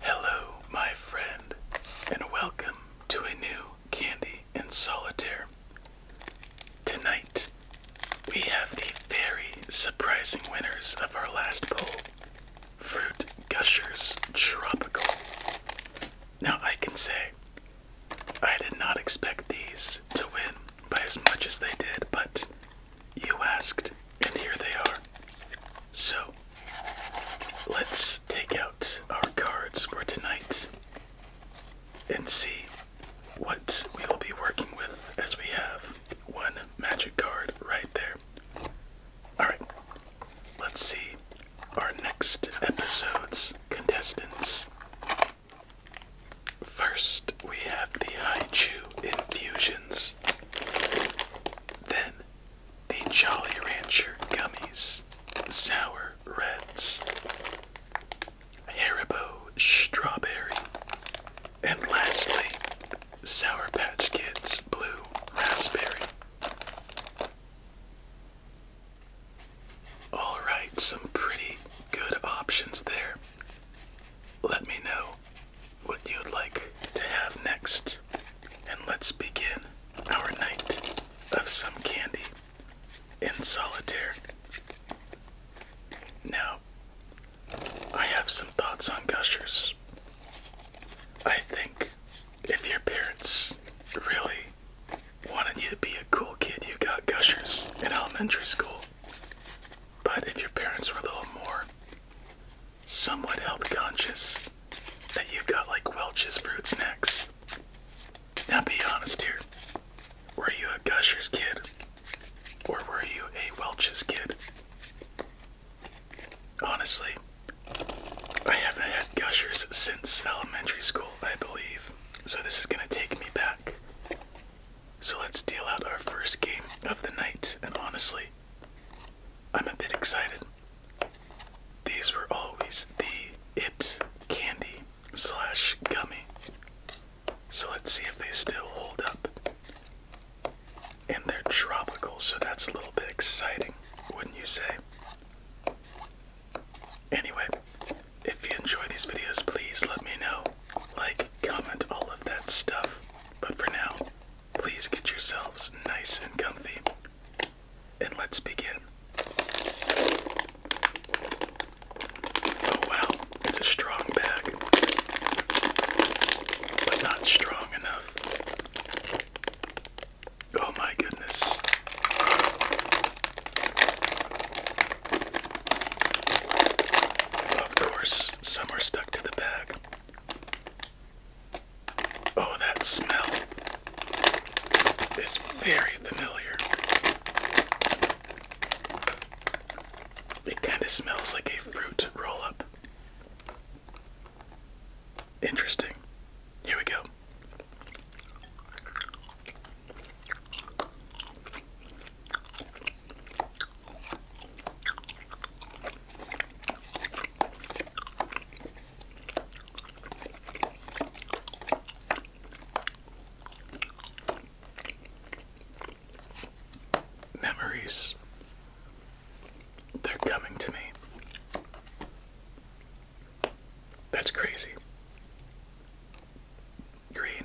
Hello, my friend, and welcome to a new Candy and Solitaire. Tonight, we have the very surprising winners of our last poll Fruit Gushers Tropical. Now, I can say I did not expect these to win by as much as they did, but you asked, and here they are. So, let's take out our cards for tonight and see what we will be working with as we have one magic card right there. Alright, let's see our next episode's contestants. First, we have the Haichu Infusions. Then the Jolly Rancher gummies, sour reds, Haribo strawberry, and lastly, Sour Patch Kids blue raspberry. All right, some pretty good options there. Let me know what you'd like to have next, and let's begin our night of some candy in solitaire. Now, I have some thoughts on gushers. I think if your parents really wanted you to be a cool kid, you got gushers in elementary school. But if your parents were a little more somewhat health conscious that you got like Welch's fruit snacks. Now be honest here. Were you a Gushers kid? Or were you a Welch's kid? Honestly, I haven't had Gushers since elementary school, I believe. So this is gonna take me back so let's deal out our first game of the night, and honestly, I'm a bit excited. These were always the it candy slash gummy. So let's see if they still hold up. And they're tropical, so that's a little bit exciting, wouldn't you say? Anyway, if you enjoy these videos, please let me know. Like, comment, all of that stuff. But for now, Please get yourselves nice and comfy, and let's begin. Oh wow, it's a strong bag, but not strong enough. Oh my goodness. Of course, some are stuck to the bag. Oh, that smell is very familiar. It kind of smells like a fruit roll up. Interesting. Here we go. Memories, they're coming to me. That's crazy. Green.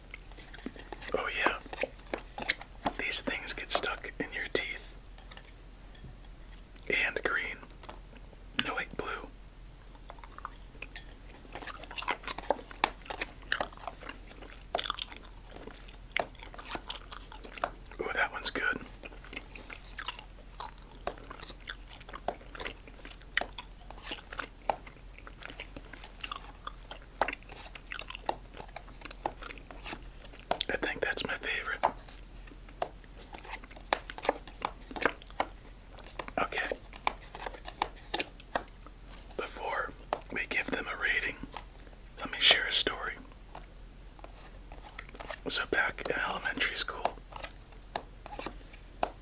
Oh, yeah. These things get stuck in your teeth. And green. No, wait, blue. Ooh, that one's good. I think that's my favorite. Okay. Before we give them a rating, let me share a story. So, back in elementary school,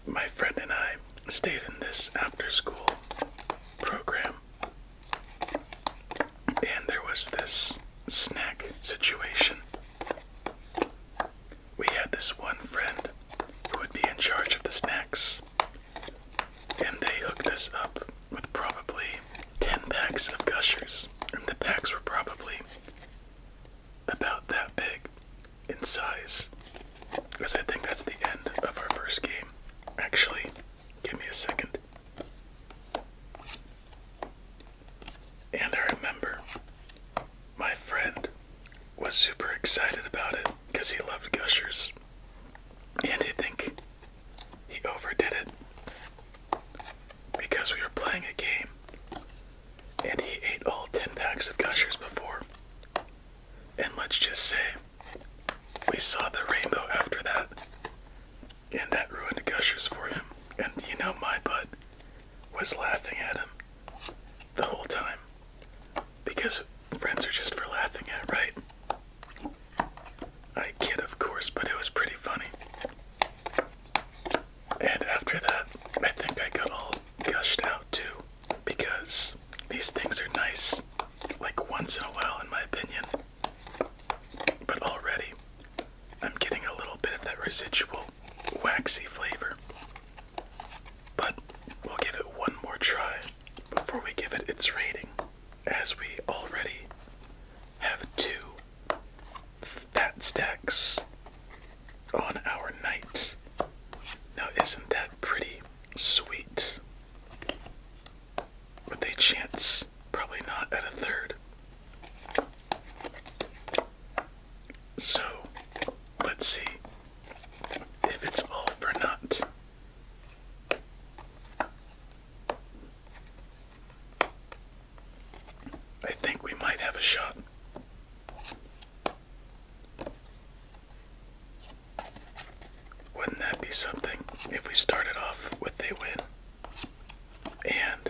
my friend and I stayed in this after school program and there was this snack situation. We had this one friend who would be in charge of the snacks, and they hooked us up with probably 10 packs of gushers, and the packs were probably about that big in size. Because I think that's the end of our first game. Actually, Give me a second. And I remember my friend was super excited about it because he loved Gushers. And I think he overdid it because we were playing a game and he ate all 10 packs of Gushers before and let's just say we saw the rainbow after that, and that ruined Gushers for him. And you know, my butt was laughing at him the whole time because friends are just for laughing at, right? I kid, of course, but it was pretty funny. And after that, I think I got all gushed out too because these things are nice like once in a while in my opinion. But already I'm getting a little bit of that residual waxy flavor. But we'll give it one more try before we give it its rating as we already have two fat stacks on our night. Now, isn't that pretty sweet? Would they chance? Probably not at a third. So, let's see if it's all for naught. I think we might have a shot. Wouldn't that be something if we started off with a win? And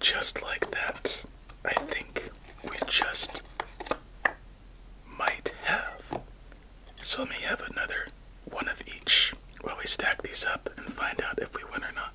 just like that, I think we just might have. So let me have another one of each while we stack these up and find out if we win or not.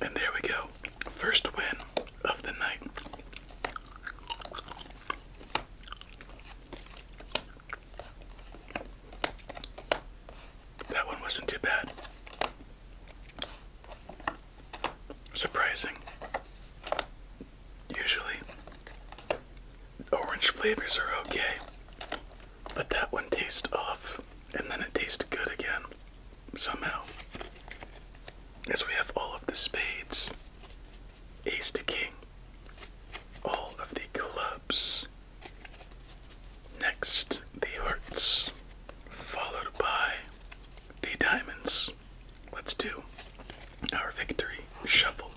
And there we go. First win of the night. That one wasn't too bad. Surprising. Usually, orange flavors are okay, but that one tastes off and then it tastes good again, somehow. As we have all of the spades, ace to king, all of the clubs, Next, the hearts, followed by the diamonds. Let's do our victory shuffle.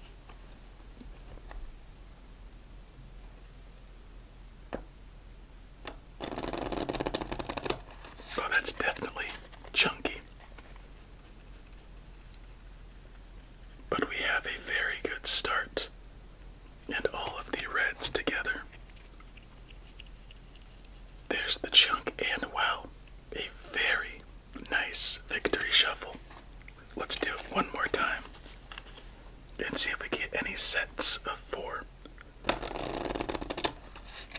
Oh, that's definitely chunky. But we have a very good start and all of the reds together. There's the chunk, and wow, a very nice victory shuffle. Let's do it one more time and see if we get any sets of four.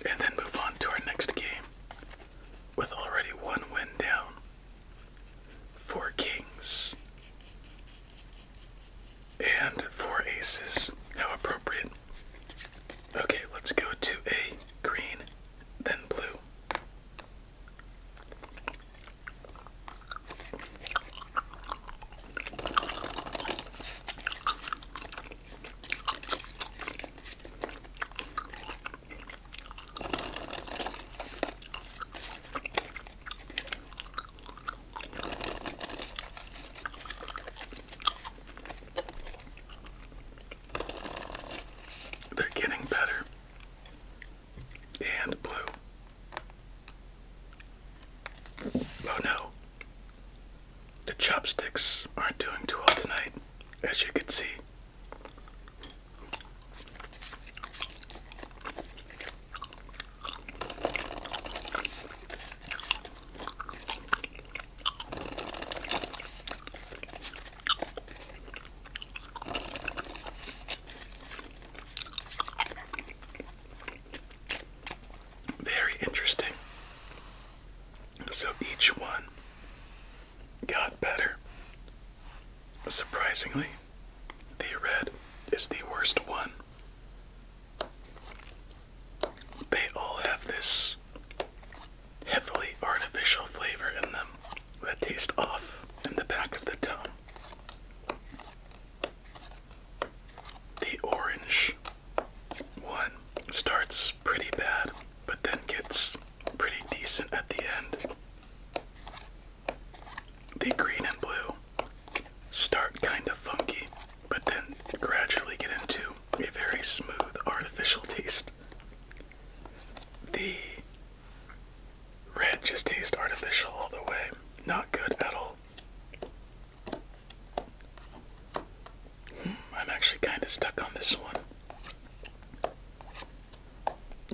And then move on to our next game with already one win down. Four kings and four aces. How appropriate. Okay, let's go to a green, then blue. They're getting better and blue. Oh no, the chopsticks aren't doing too well tonight, as you can see. Very interesting. So each one got better. Surprisingly, the red is the worst one. They all have this heavily artificial flavor in them that tastes off in the back of the tongue. The orange one starts pretty bad, but then gets pretty decent at the end. The green and blue start kind of funky, but then gradually get into a very smooth artificial taste. The red just tastes artificial all the way, not good at all. Hmm, I'm actually kind of stuck on this one.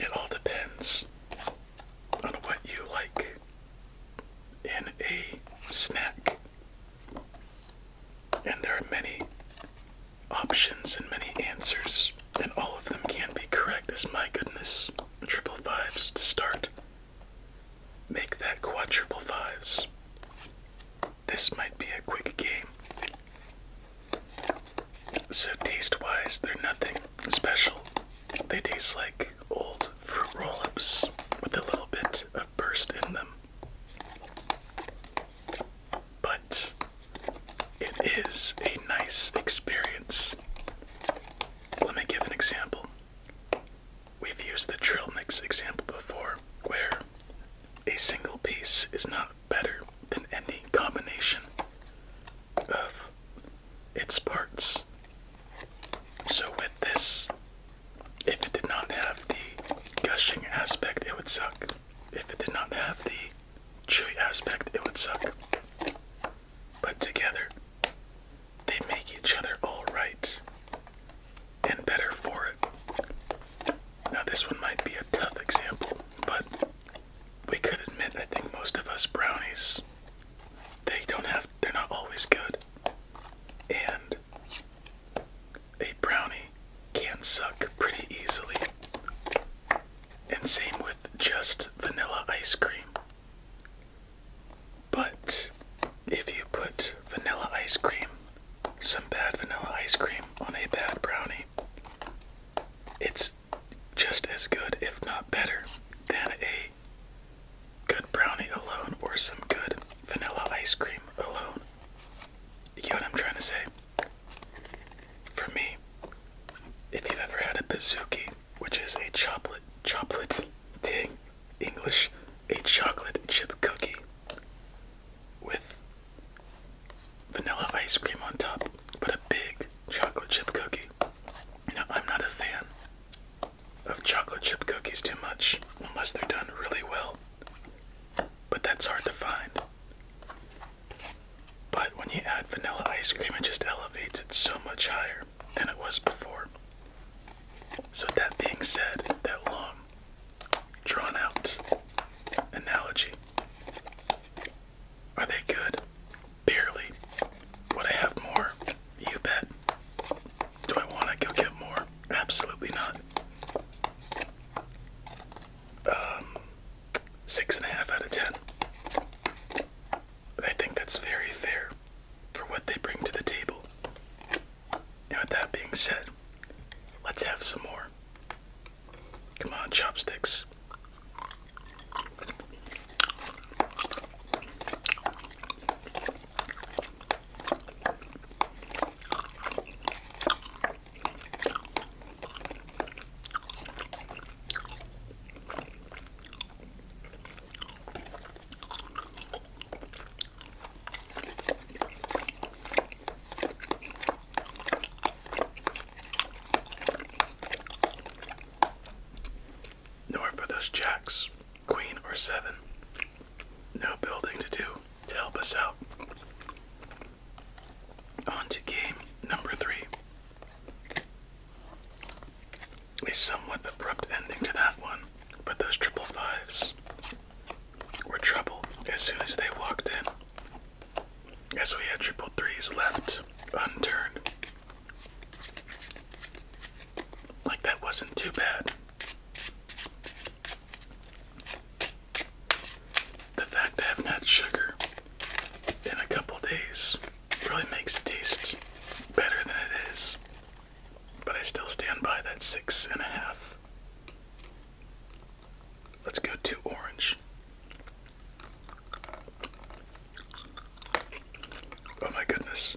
It all depends on what you like in a snack. And there are many options and many answers, and all of them can be correct as my goodness. Triple fives to start. Make that quadruple fives. This might be a quick game. So, taste wise, they're nothing special. They taste like old fruit roll ups with a little bit of burst in them. But it is a nice experience. Let me give an example. We've used the trail mix example before, where a single piece is not better than any combination of its parts. So with this, if it did not have the gushing aspect, it would suck. If it did not have the chewy aspect, it would suck. But together, they make each other all right and better for it. Now, this one might be a tough example, but we could admit I think most of us brownies they don't have they're not always good. And a brownie can suck pretty easily. And same with just vanilla ice cream. But if you put vanilla ice cream, some bad vanilla ice cream on a bad brownie, it's just as good, if not better, than a Good brownie alone or some good vanilla ice cream alone. You know what I'm trying to say? For me, if you've ever had a bizuki, which is a chocolate, chocolate, dang, English, a chocolate chip cookie with vanilla ice cream on top, but a big chocolate chip cookie. Now, I'm not a fan of chocolate chip cookies too much unless they're done really well. But that's hard to find. But when you add vanilla ice cream, it just elevates it so much higher than it was before. So, that being said, that long, drawn out analogy. Are they good? Barely. Would I have more? You bet. Do I want to go get more? Absolutely not. Um, six and a half out of ten. I think that's very fair for what they bring to the table. Now, with that being said, let's have some more. Come on, chopsticks. Nor for those jacks, queen or seven. No building to do to help us out. On to game number three. A somewhat abrupt ending to that one, but those triple fives were trouble as soon as they walked in, as we had triple threes left unturned. Like that wasn't too bad. The fact I haven't had sugar in a couple days really makes it taste better than it is. But I still stand by that six and a half. Let's go to orange. Oh my goodness.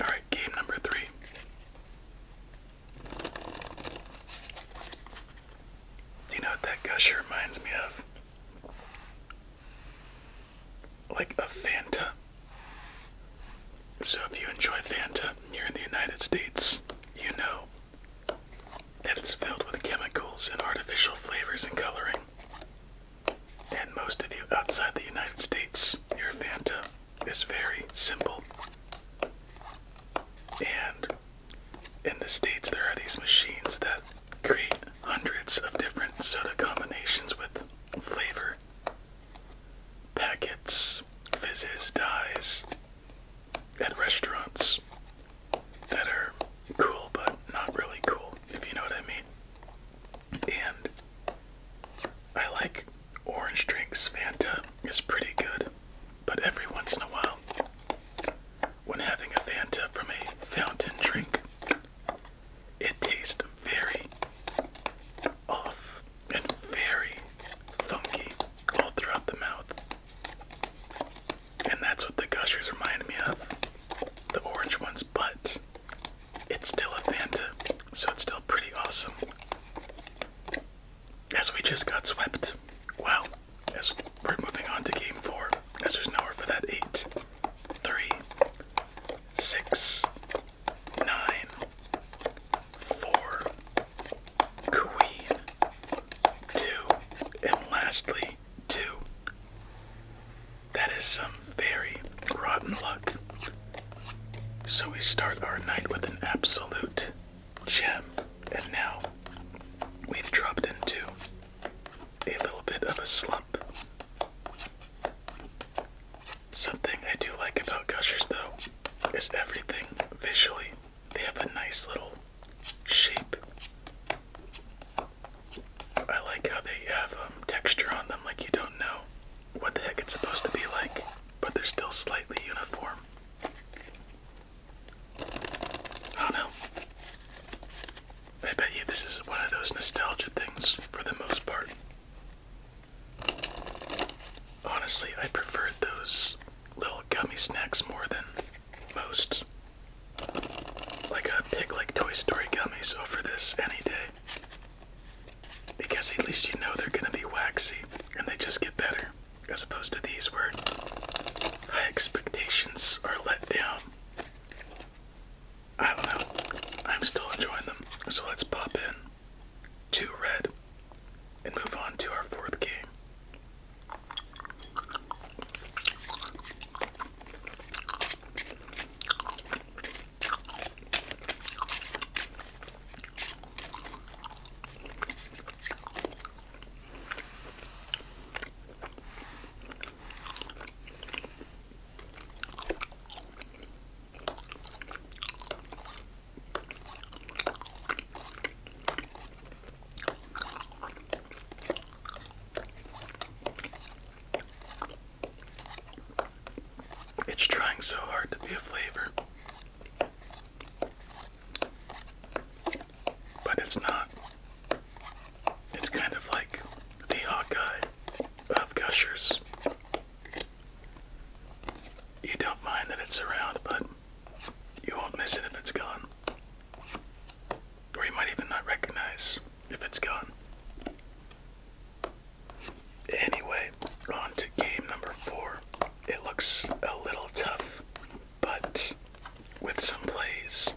All right, game number three. Do you know what that gusher reminds me of? Like a Fanta. So if you enjoy Fanta here in the United States, you know that it's filled with chemicals and artificial flavors and coloring. And most of you outside the United States, your Fanta is very simple. And in the States, there are these machines that create hundreds of different soda combinations with flavor packets, fizzes, dyes, and restaurants that are cool but not really cool, if you know what I mean. And I like orange drinks, Fanta is pretty good, but every once in a while, when having a Fanta from a fountain drink, it tastes very off and very funky all throughout the mouth. And that's what the gushers remind me of. The orange ones, but it's still a Fanta, so it's still pretty awesome. As we just got swept. Wow. As we're moving on to game four. As there's nowhere for that eight nine, four, queen, two, and lastly, two. That is some very rotten luck. So we start our night with an absolute gem, and now we've dropped into a little bit of a slump. Something I do like about Gushers though is everything visually. They have a nice little shape. I like how they have um, texture on them, like you don't know what the heck it's supposed to be like, but they're still slightly uniform. I don't know. I bet you this is one of those nostalgic things for the most part. Honestly, I prefer those little gummy snacks more than most. Like a pig like Toy Story gummies over this any day. Because at least you know they're gonna be waxy and they just get better, as opposed to these where high expectations are let down. I don't know. I'm still enjoying them, so let's pop in two red, and move on to our fourth game. It's trying so hard to be a flavor, but it's not. It's kind of like the Hawkeye of Gushers. You don't mind that it's around, but you won't miss it if it's gone. Or you might even not recognize if it's gone. Anyway, on to game number four. It looks a little tough, but with some plays,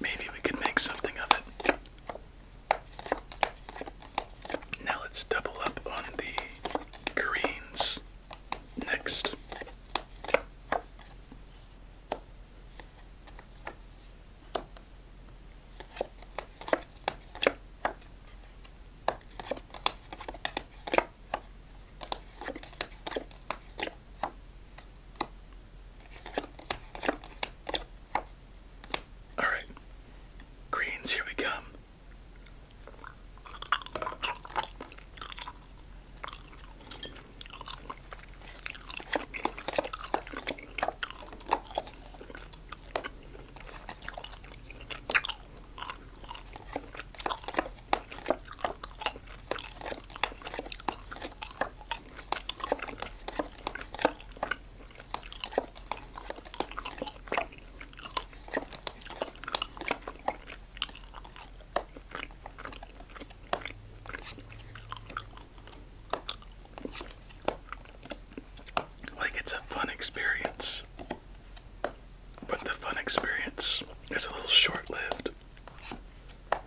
maybe we can make something of it. Now let's double up on the greens next. All right, greens, here we come. Like, it's a fun experience, but the fun experience is a little short lived. I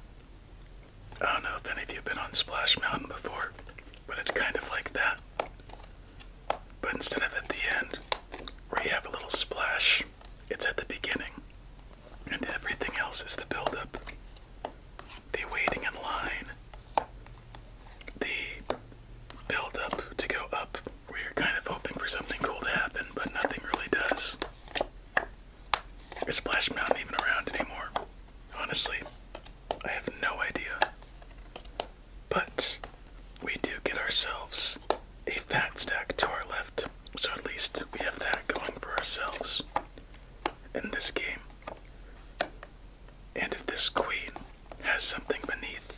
don't know if any of you have been on Splash Mountain before. But it's kind of like that. But instead of at the end, where you have a little splash, it's at the beginning. And everything else is the build buildup. The waiting in line. The buildup to go up, where you're kind of hoping for something cool to happen, but nothing really does. Is Splash Mountain even around anymore? Honestly, I have no idea. But we do get ourselves a fat stack to our left, so at least we have that going for ourselves in this game. And if this queen has something beneath,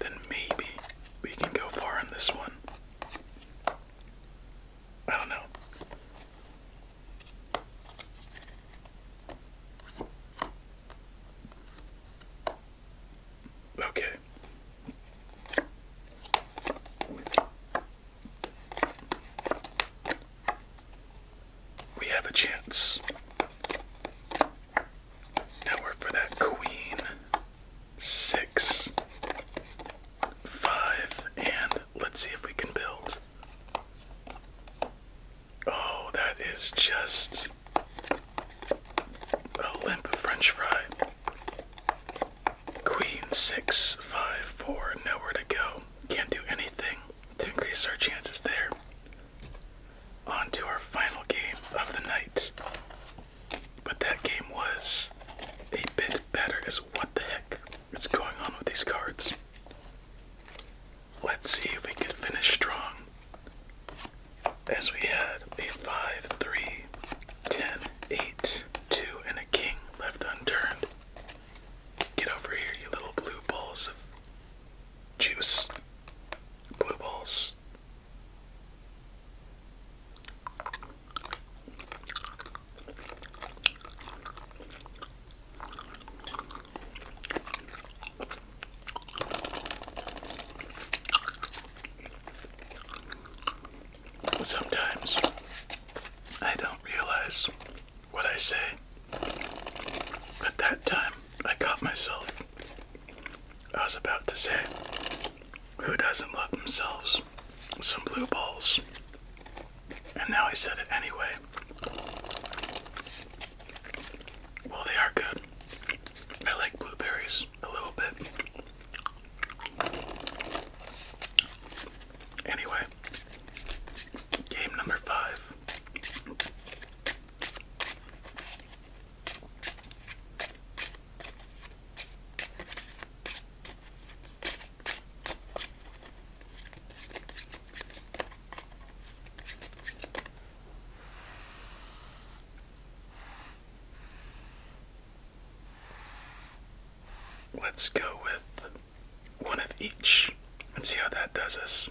then maybe we can go far in this one. I don't know. Okay. We have a chance. Now we for that queen. Six. Five. And let's see if we can build. Oh, that is just a limp French fry. Queen six five four, nowhere to go. Can't do anything to increase our chances there. On to our final game of the night. But that game was a bit better, is what the heck is going on with these cards? Let's see if we can finish strong. As we had a 5, 3, 10, 8, 2, and a king left unturned. Get over here, you little blue balls of juice. Blue balls. Sometimes I don't realize what I say. At that time, I caught myself. I was about to say, Who doesn't love themselves? Some blue balls. And now I said it anyway. Well, they are good. I like blueberries a little bit. Anyway, game number five. Let's go with one of each and see how that does us.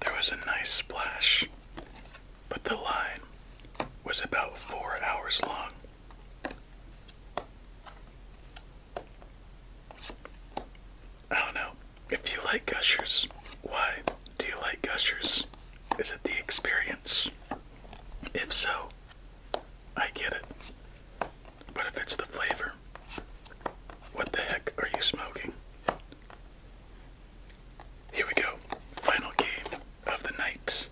There was a nice splash, but the line was about four hours long. I don't know. If you like gushers, why do you like gushers? Is it the experience? If so, I get it. But if it's the flavor, what the heck are you smoking? Here we go. Final game of the night.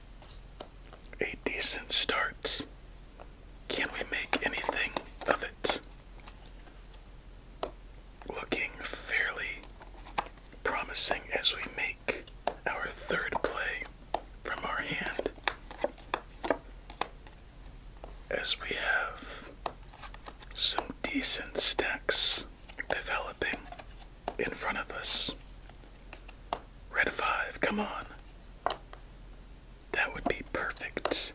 A decent start can we make anything of it? Looking fairly promising as we make our third play from our hand. As we have some decent stacks developing in front of us. Red 5, come on. That would be perfect.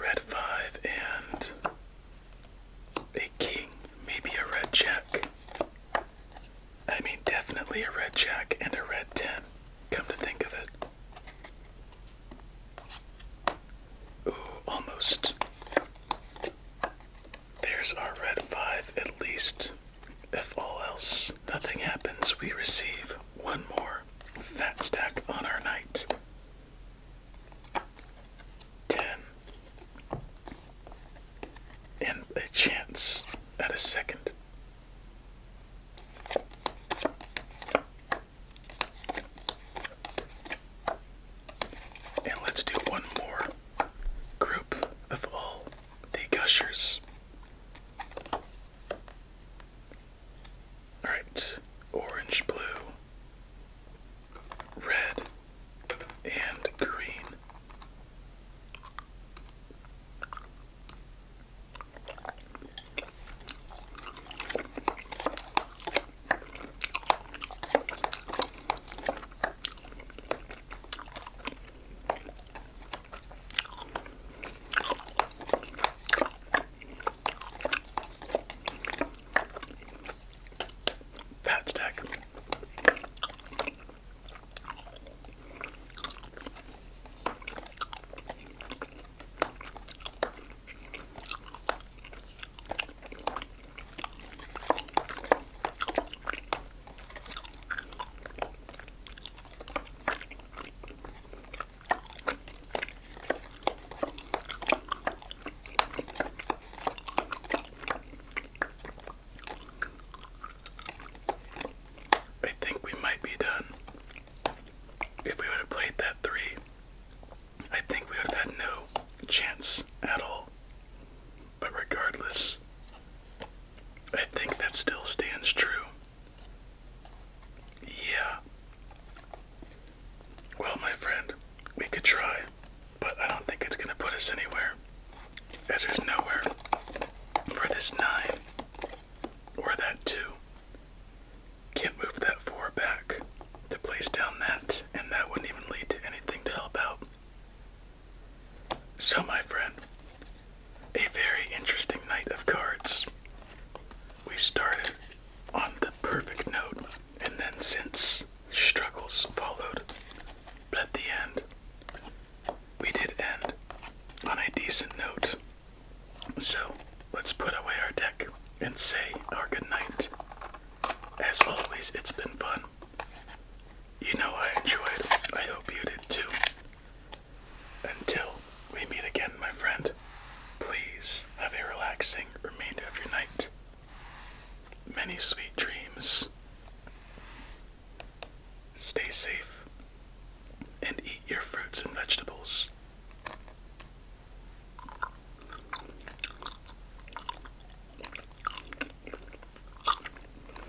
Red 5 and a king, maybe a red jack. I mean, definitely a red jack and a red 10, come to think of it. Ooh, almost. There's our red 5 at least. If all else nothing happens, we receive one more fat stack on our night. Ten. And a chance at a second. And let's do one more group of all the gushers. All right, orange, blue, red, and green. Pat's deck. I think we might be done. If we would have played that three, I think we would have had no chance at all. But regardless, I think that still stands true. Yeah. Well, my friend, we could try, but I don't think it's going to put us anywhere, as there's nowhere for this 9 or that 2. Can't move that 4 back to place down that, and that wouldn't even lead to anything to help out. So, my friend, a very interesting night of cards. We started on the perfect note, and then since struggles followed, but at the end, we did end on a decent note. So, let's put away our deck and say our goodnight. As always, it's been fun. You know I enjoyed. I hope you did too. Until we meet again, my friend, please have a relaxing remainder of your night. Many sweet dreams. Stay safe and eat your fruits and vegetables.